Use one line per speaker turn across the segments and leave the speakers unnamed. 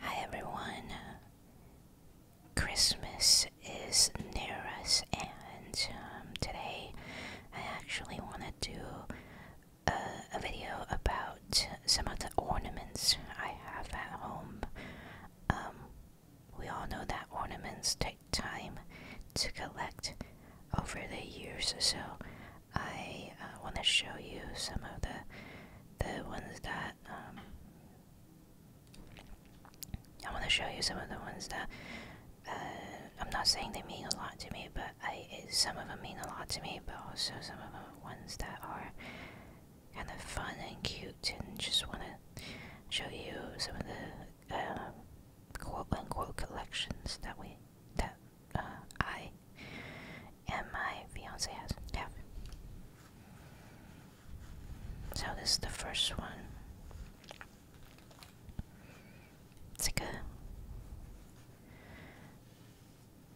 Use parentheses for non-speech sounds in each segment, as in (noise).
Hi everyone! Christmas is near us, and um, today I actually want to do a, video about some of the ornaments I have at home. Um, we all know that ornaments take time to collect over the years or so. I uh, want to show you some of the the ones that um, I want to show you some of the ones that uh, I'm not saying they mean a lot to me, but I some of them mean a lot to me, but also some of them ones that are kind of fun and cute, and just want to show you some of the uh, quote unquote collections that we that uh, I and my fiance has have. So this is the first one. It's like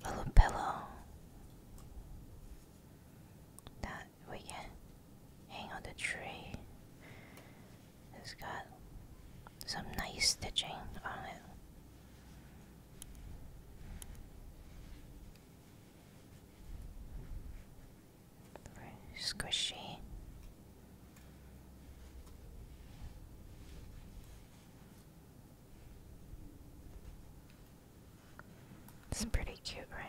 a little pillow that we can hang on the tree. It's got some nice stitching on it squishy. It's pretty cute, right?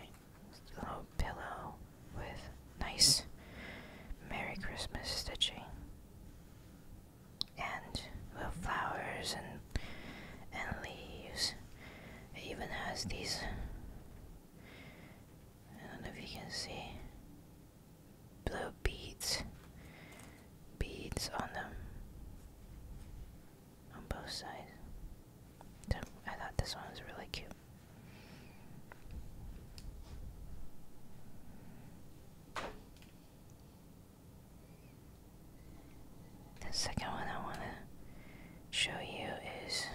little pillow with nice Merry Christmas stitching and with flowers and and leaves. even has these. I don't know if you can see blue beads, beads on them, on both sides. I thought this one was really cute. The second one I want to show you is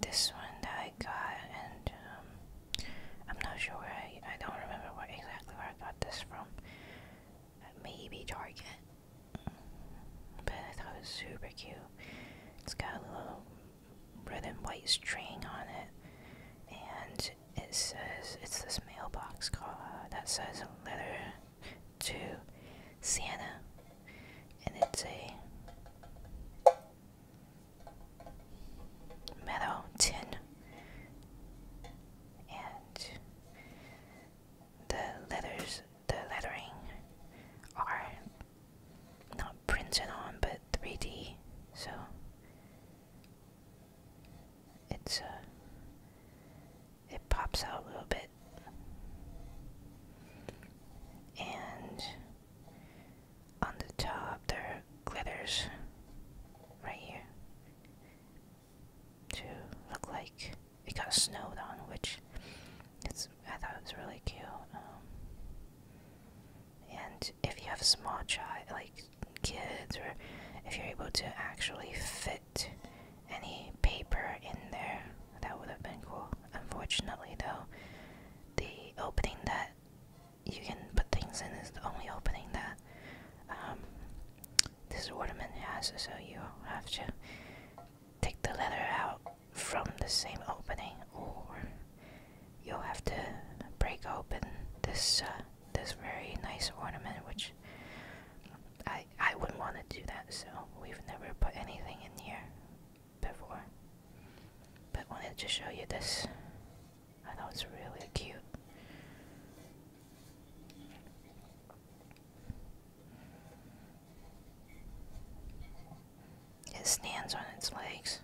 this one that I got, and um, I'm not sure where I, I don't remember where exactly where I got this from. Maybe Target, but I thought it was super cute. It's got a little red and white string on it, and it, says it's this mailbox call, that says a letter to Sienna, and it's a metal tin, and the letters, the lettering are not printed on, but 3D, so it's uh, it pops out a little bit, and on the top there glitters right here to look like it got snowed on, which it's I thought was really cute. Um, and if you have a small child, like kids or if you're able to actually fit any paper in there that would have been cool unfortunately though the opening that you can put things in is the only opening that um, this ornament has so you have to take the letter out from the same opening or you'll have to break open this uh, this very nice ornament, which I I wouldn't want to do that. So we've never put anything in here before, but wanted to show you this. I know it's really cute. It stands on its legs.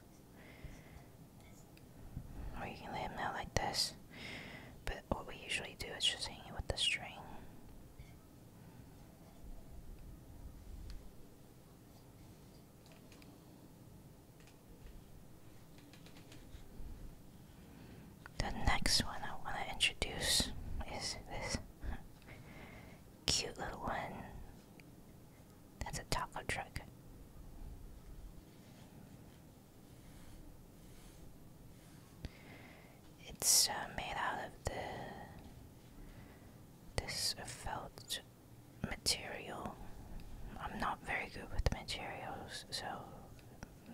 Or you can lay them out like this. But what we usually do is just hang it with the string. The next one I want to introduce is this (laughs) cute little one that's a taco truck. It's uh, made out of the this felt material. I'm not very good with materials, so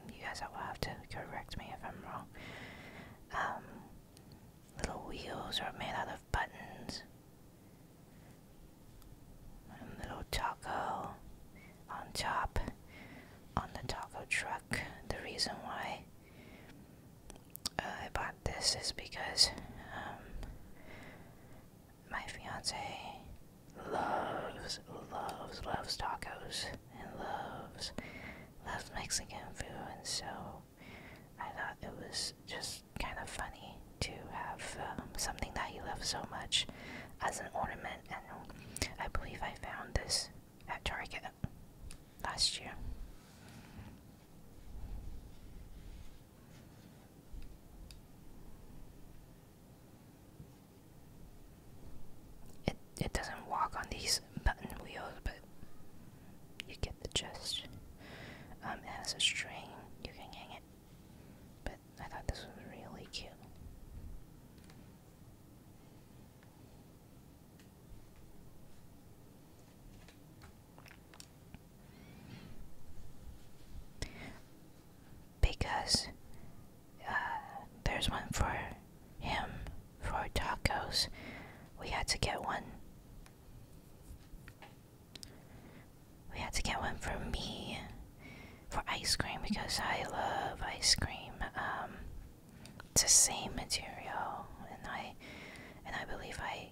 you guys will have to correct me if I'm wrong. Um, little wheels are made out of buttons. A little taco on top on the taco truck. The reason why uh, I bought this is because um, my fiance loves, loves, loves tacos and loves, loves Mexican food, and so I thought it was just kind of funny to have um, something that you love so much as an ornament, and I believe I found this at Target last year. It it doesn't walk on these button wheels, but you get the gist. Um, it has a string. You can hang it but I thought this was really cute. Because uh, there's one for him for tacos. We had to get one. We had to get one for me for ice cream because I love ice cream. Um, it's the same material, and I and I believe I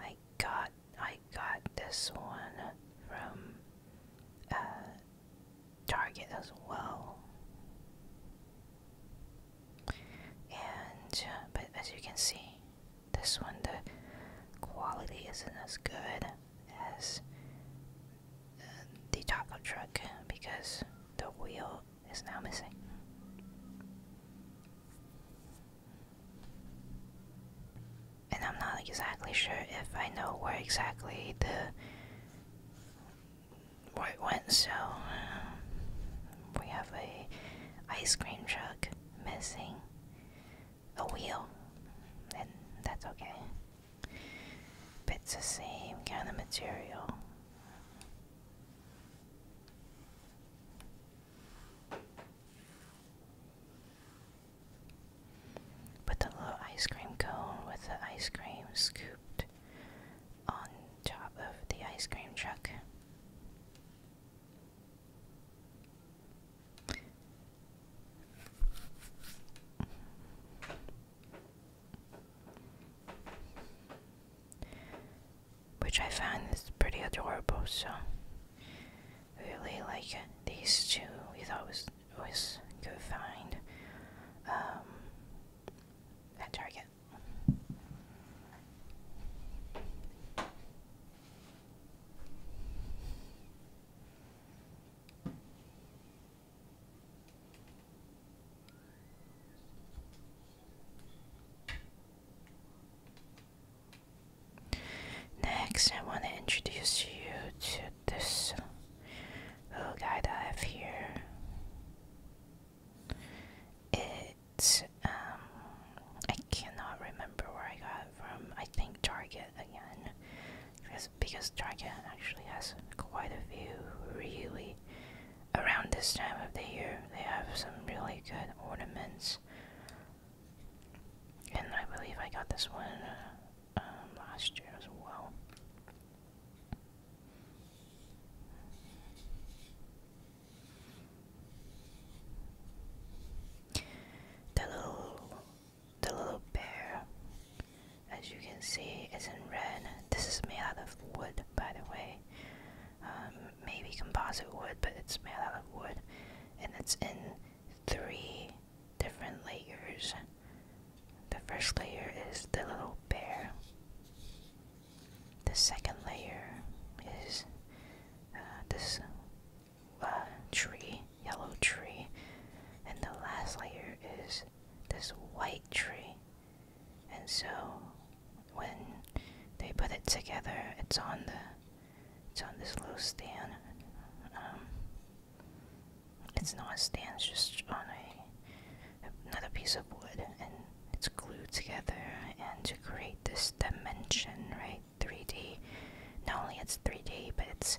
I got I got this one from uh, Target as well. And uh, but as you can see, this one, the quality isn't as good as uh, the taco truck because the wheel is now missing. And I'm not exactly sure if I know where exactly the where it went, so um, we have a ice cream truck missing a wheel, and that's okay. it's the same kind of material. But the little ice cream cone with the ice cream scooped on top of the ice cream truck. Which I find is pretty adorable, so really like these two we thought was always good find um at Target. Next, I want to introduce you to this little guy that I have here. It's um, I cannot remember where I got from I think Target again, because because Target actually has quite a few really around this time of the year. They have some really good ornaments, and I believe I got this one uh, um, last year as well. The little, the little bear, as you can see, is in red. This is made out of wood, by the way. Um, maybe composite wood, but it's made out of wood, and it's in three different layers. The first layer is the little bear. The second layer is uh, this uh, tree, yellow tree, and the last layer is this white tree. And so when they put it together, it's on the it's on this little stand. Um, it's not a stand, it's just on another piece of wood, and it's glued together and to create this dimension, right? 3D. Not only it's 3D, but it's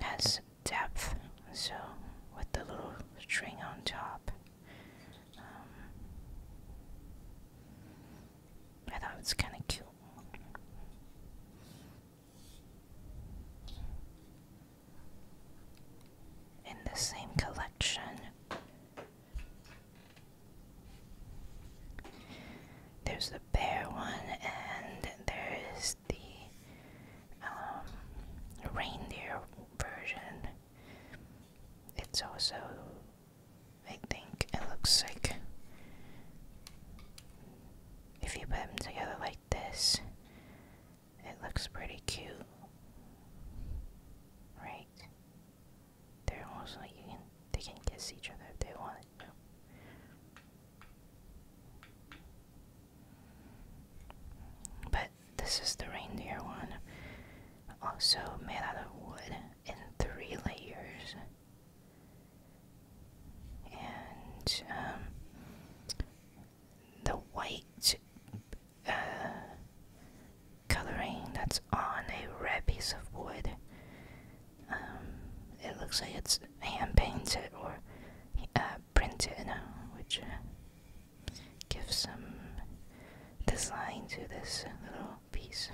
has depth. So with the little string on top, um, I thought it kind of cute. In the same collection, there's the bear one, and there is the um, reindeer version. It's also, I think, it looks like if you put them together like this, it looks pretty cute, right? They're almost like you can they can kiss each other if they want. to. But this is the reindeer one. Also made out of wood in three layers. And um, the white uh, coloring that's on a red piece of wood um, it looks like it's hand painted or uh, printed, which uh, gives some design to this little piece.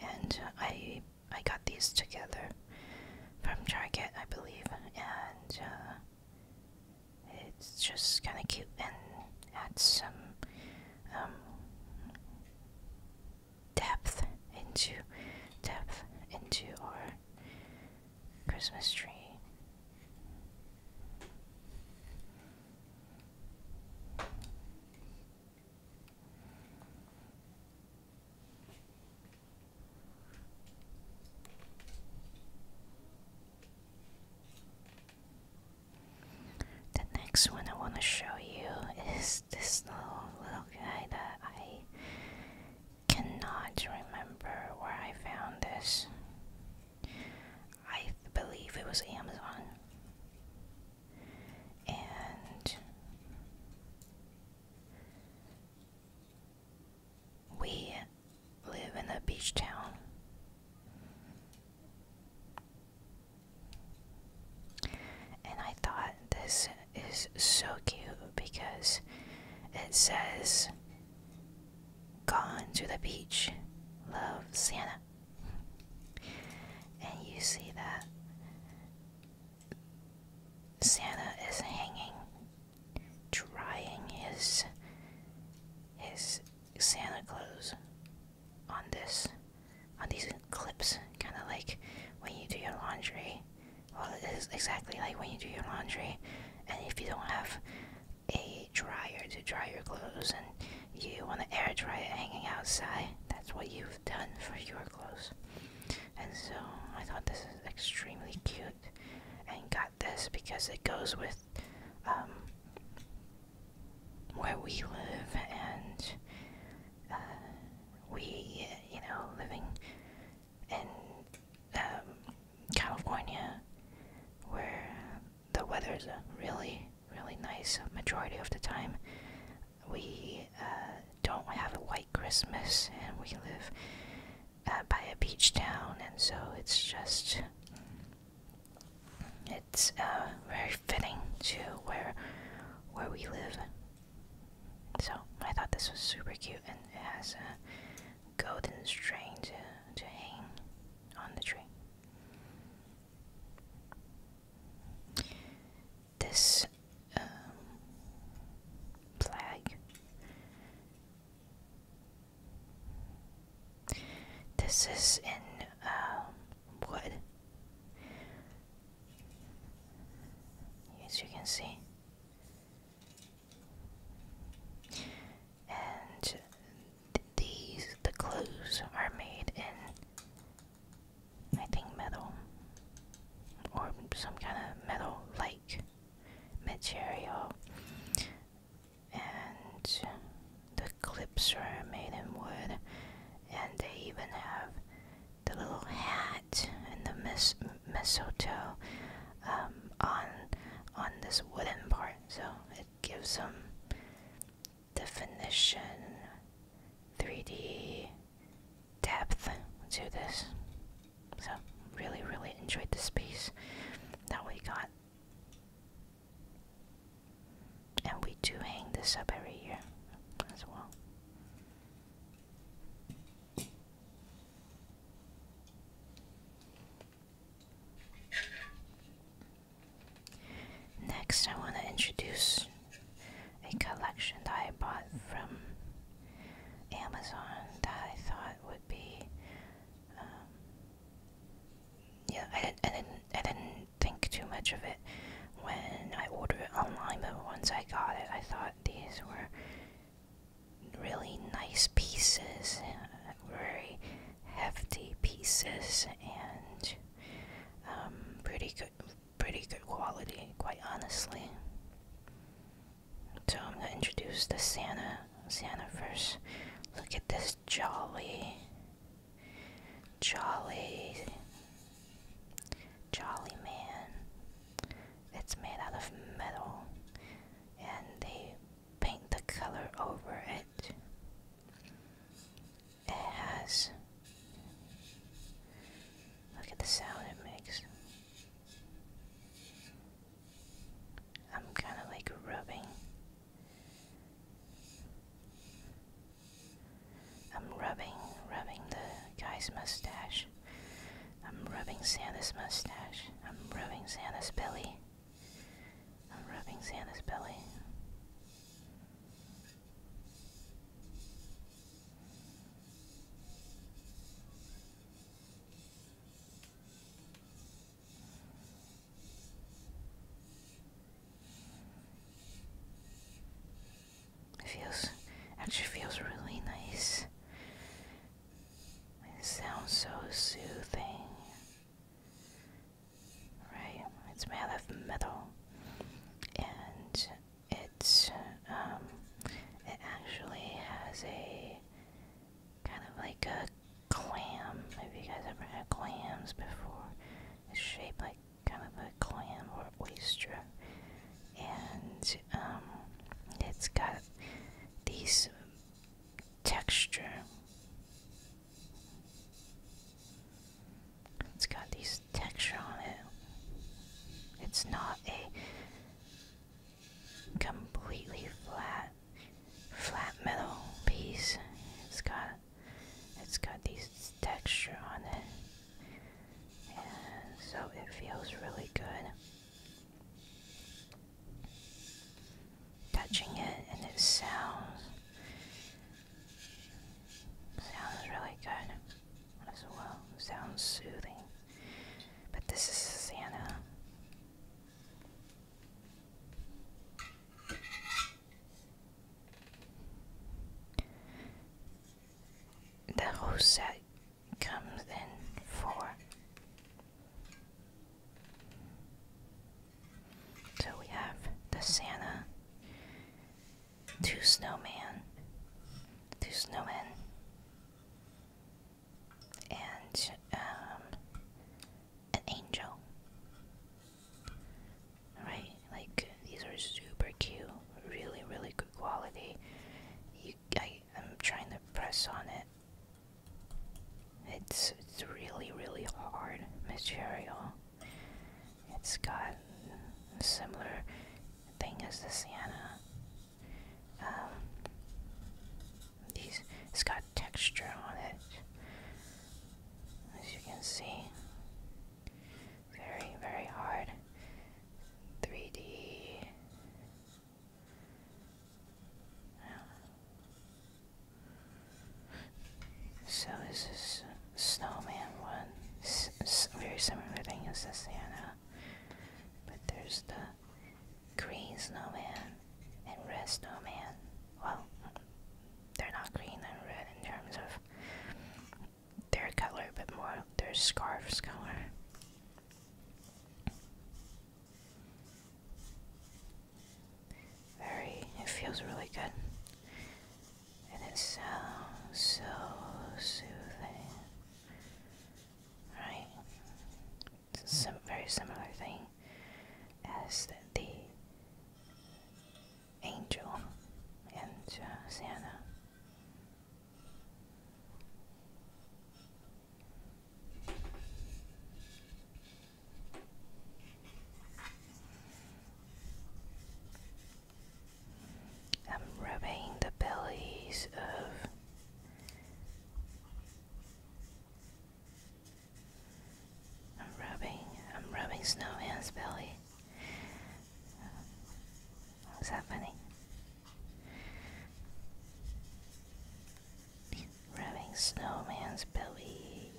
And I I got these together from Target, I believe, and uh, it's just kind of cute and adds some um, depth into depth into our Christmas tree. The next one I want to show you is this little, little guy that I cannot remember where I found this. I believe it was Amazon. And we live in a beach town. And I thought this is so cute because it says, Gone to the beach, love Santa. And you see that Santa is hanging, drying his his Santa clothes on this on these clips kind of like when you do your laundry well it is exactly like when you do your laundry and if you don't have a dryer to dry your clothes and you want to air dry it hanging outside that's what you've done for your clothes and so i thought this is extremely cute and got this because it goes with um where we live and uh, we, you know, living in um, California where the weather's really, really nice majority of the time. We uh, don't have a white Christmas and we live uh, by a beach town and so it's just it's uh, very fitting to where where we live. So I thought this was super cute, and it has a golden string to to hang on the tree. This um, flag. This is in um, wood. As you can see. And these, the clothes are made in, I think, metal. Or some kind of metal like material and the clips are made in wood, and they even have the little hat and the mis mistletoe um, on on this wooden part, so it gives them definition, 3D depth to this. So really, really enjoyed this piece. Now we got and we do hang this up every year as well. Next, I want to introduce a collection that I bought from Amazon that I thought would be. Um, yeah, I, I didn't. I did think too much of it when I order it online, but once I got it, I thought these were really nice pieces, very hefty pieces, and um, pretty good, pretty good quality, quite honestly. So I'm gonna introduce the Santa, Santa first. Look at this jolly Jolly Jolly Man. It's made out of metal and they paint the color over it. It has look at the sound it makes. I'm kind of like rubbing I'm rubbing, rubbing the guy's mustache. I'm rubbing Santa's mustache. I'm rubbing Santa's belly. I'm rubbing Santa's belly. It feels actually feels really nice. It sounds so soothing. Right, it's made of metal, and it's um, it actually has a kind of like a clam. Have you guys ever had clams before? It's shaped like kind of a clam or oyster, and um, it's got these texture. It's got these texture on it. It's not a completely flat, flat metal piece. It's got it's got this texture on it. And so it feels really good. Touching it and it sounds sounds really good as well. Sounds soothing. But this is Santa. The Rosa comes in four. So we have the Santa, two snowman, two snowmen, and um, an angel. Right? Like these are super cute, really, really good quality. You, I, am trying to press on it. It's it's really, really hard material. It's got a similar thing as the Sienna. Um, these it's got texture on it, as you can see. Very, very hard. 3D. So this is snowman one. very similar thing as the Santa, but there's the green snowman and red snowman. Well, they're not green and red in terms of their color, but more their scarf's color. Very, it feels really good. And it's so, soothing. Right? It's a very similar thing as the angel and uh, Sienna. I'm rubbing the bellies of I'm rubbing, I'm rubbing Snowman's belly. Was that funny? Rubbing Snowman's belly.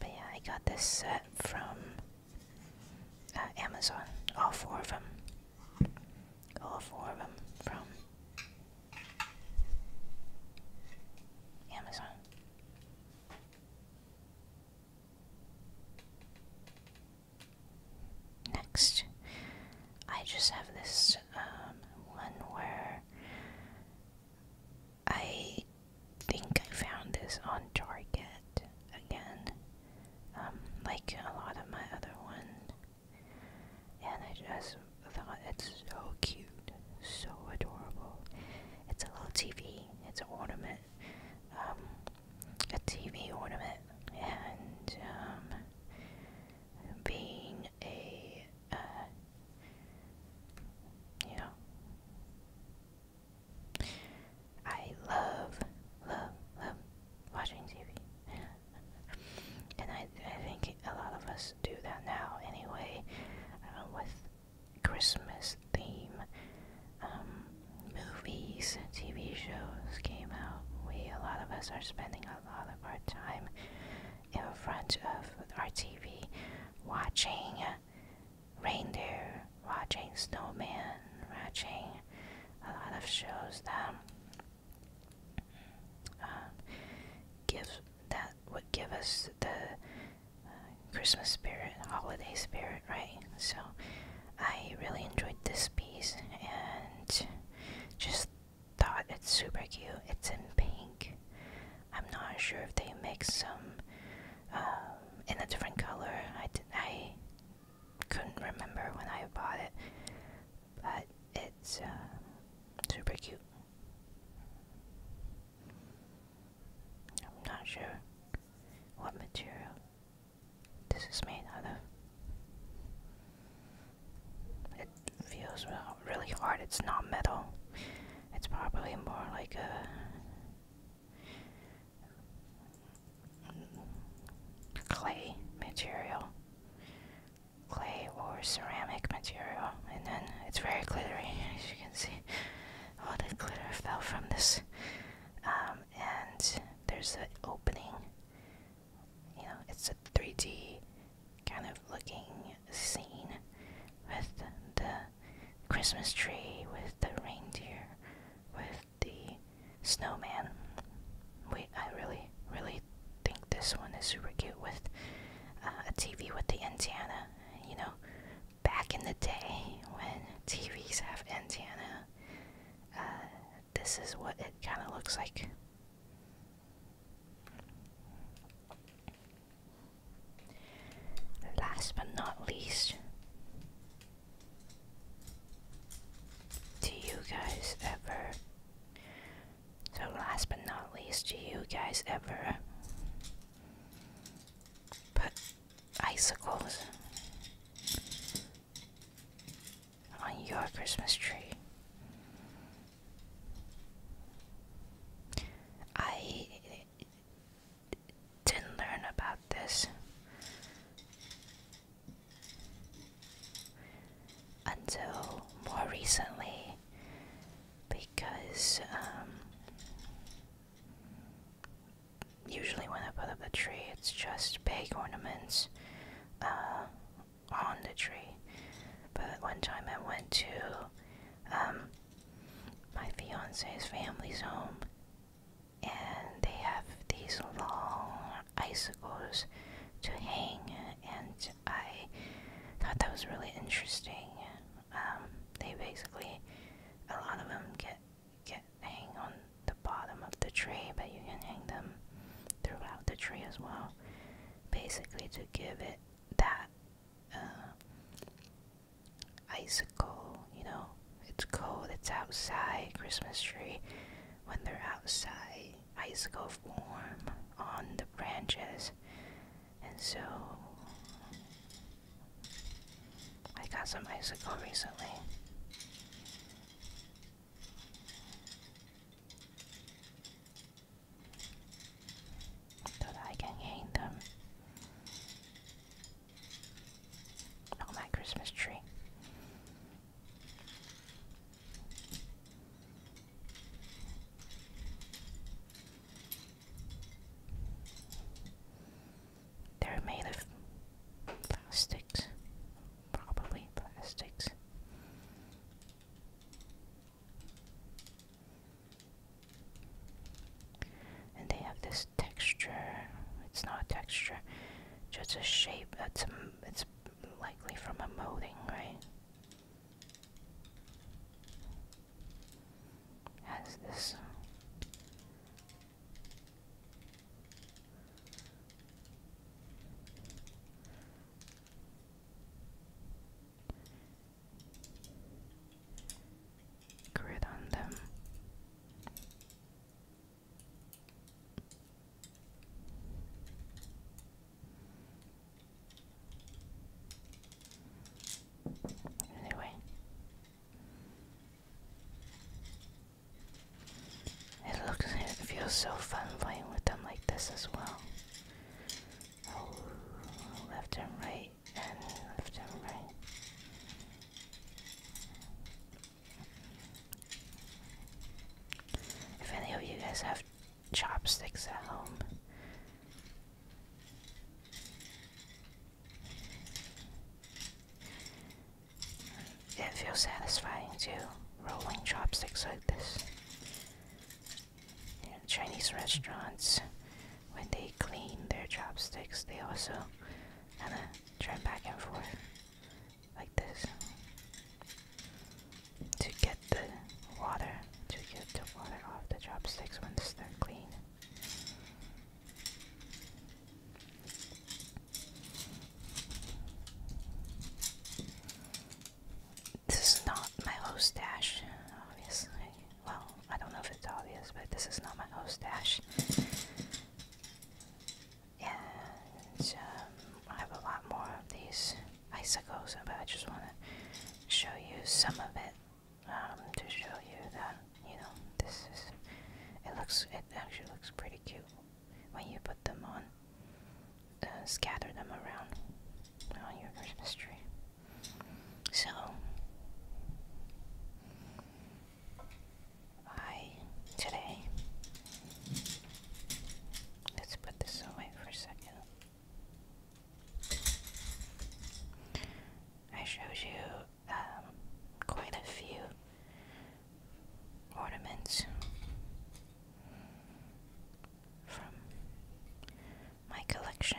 But yeah, I got this set from uh, Amazon. All four of them. All four of them from Amazon. Next, I just have this um, one where I think I found this on Target again, um, like a lot of my other one and I just thought it's so cute, so adorable. It's a little TV, it's an ornament, um, a TV ornament, and um, being a, uh, you know, I love, love, love watching TV and I, I think a lot of us do that now anyway uh, with Christmas theme um, movies and TV shows came out. We a lot of us are spending a lot of our time in front of our TV watching reindeer, watching snowman, watching a lot of shows that um, give that would give us the uh, Christmas spirit, holiday spirit, right? So I really enjoyed this piece and just thought it's super cute. It's in pink. I'm not sure if they make some um, in a different color. I I couldn't remember when I bought it, but it's uh, super cute. I'm not sure what material this is made out of. It feels really hard. It's not metal. It's probably more like a clay material clay or ceramic material, and then it's very glittery, as you can see. All the glitter fell from this, um, and there's an opening. You know, it's a 3D kind of looking scene with the Christmas tree, with the reindeer, with the snowman. Wait, I really, really I think this one is super cute with uh, a TV with the antenna. You know, back in the day when TVs have antenna, uh, this is what it kind of looks like. Last but not least, do you guys ever so last but not least, do you guys ever put icicles on your Christmas tree? I didn't learn about this until more recently because um, usually when I put up the tree, it's just big ornaments uh, on the tree. But one time I went to um, my fiance's family's home, and they have these long icicles to hang, and I thought that was really interesting. Um, they basically, a lot of them get get hang on the bottom of the tree, but you can hang them throughout the tree as well, basically to give it that uh, icicle. You know, it's cold, it's outside. Christmas tree when they're outside ice got warm on the branches, and so I got some icicle recently. So that I can hang them on my Christmas tree. They're made of plastics, probably plastics. And they have this texture. It's not texture, just a shape. That's a, likely from a molding, right? Has this. Uh, grid on them. Anyway, it looks it feels so fun playing with them like this as well. Oh, left and right, and left and right. If any of you guys have chopsticks at home, it feels satisfying too, rolling chopsticks like this. In Chinese restaurants, when they clean their chopsticks, they also kind of turn back and forth like this to get the water to get the water off the chopsticks once they're clean. This is not my host dash, obviously. Well, I don't know if it's obvious, but this is not my host dash. And um, I have a lot more of these icicles, but I just want to show you some of it um, to show you that you know this is. It looks. It actually looks pretty cute when you put them on. Uh, scatter them around on your Christmas tree. So I today Let's put this away for a second. I showed you um, quite a few ornaments from my collection.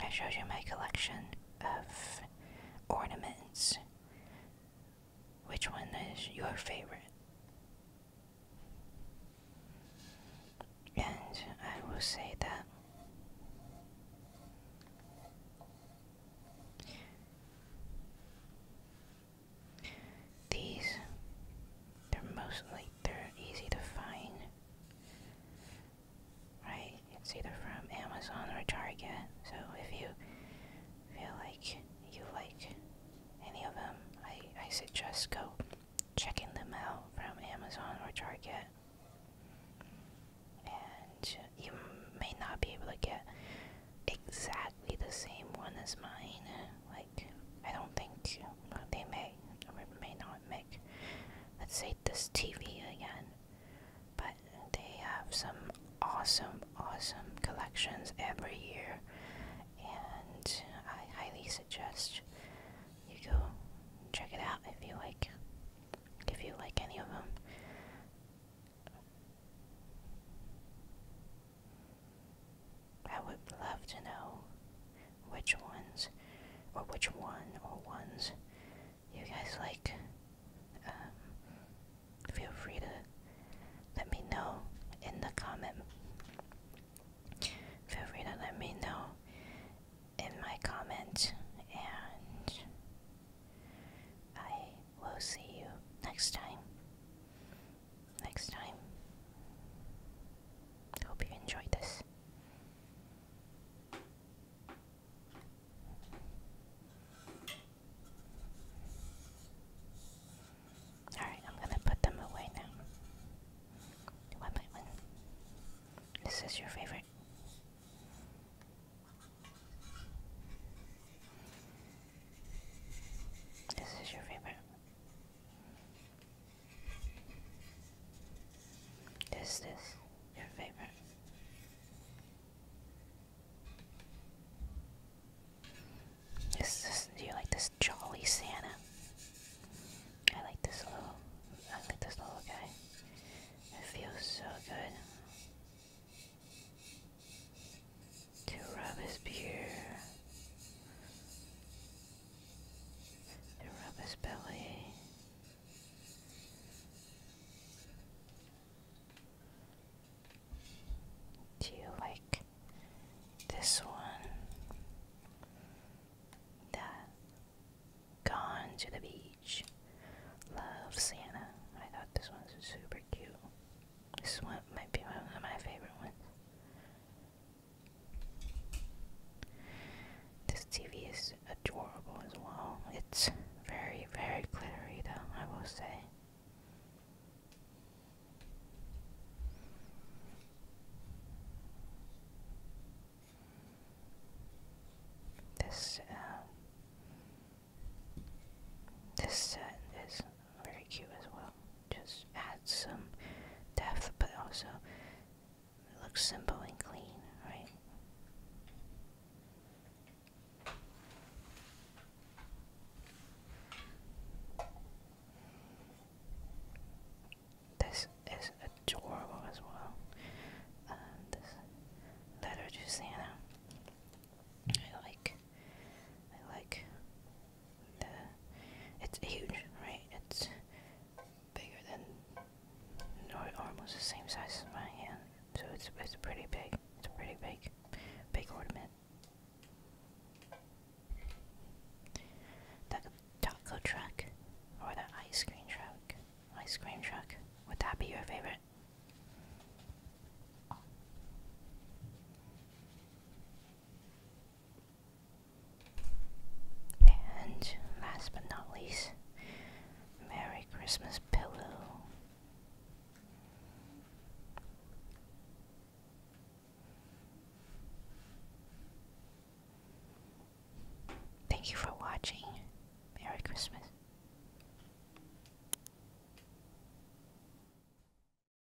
I showed you my collection of ornaments. Which one is your favorite? And I will say that these, they're mostly, they're easy to find. Right? It's either from Amazon or Target. So if you feel like you like any of them, I, I suggest go checking them out from Amazon or Target. And you may not be able to get exactly the same one as mine like I don't think they may or may not make let's say this TV again. But they have some awesome, awesome collections every year and I highly suggest you go check it out if you like if you like any of them. I would love to know which ones, or which one or ones you guys like. Um, feel free to let me know in the comment. Feel free to let me know in my comment, and I will see you next time next time. Hope you enjoyed this. Alright, I'm gonna put them away now. One by one. This is your favorite. This is your favorite. Is this your favorite? Is this do you like this jolly Santa? I like this little I like this little guy. It feels so good to rub his beard, to rub his belly. Do you like this one? That gone to the beach. Love Santa. I thought this one's super cute. This one might be one of my favorite ones. This TV is adorable as well. It's very, very glittery, though, I will say. This, um, this set is very cute as well. Just add some depth, but also it looks simple and clean, right? This is adorable as well. Um, this letter to Santa. I like, I like the, it's huge, right? It's bigger than, or almost the same size as my hand. So it's it's pretty big. It's a pretty big, big ornament. That taco truck, or the ice cream truck, ice cream truck. Would that be your favorite? And last but not least, Merry Christmas Pillow. Thank you for watching. Merry Christmas.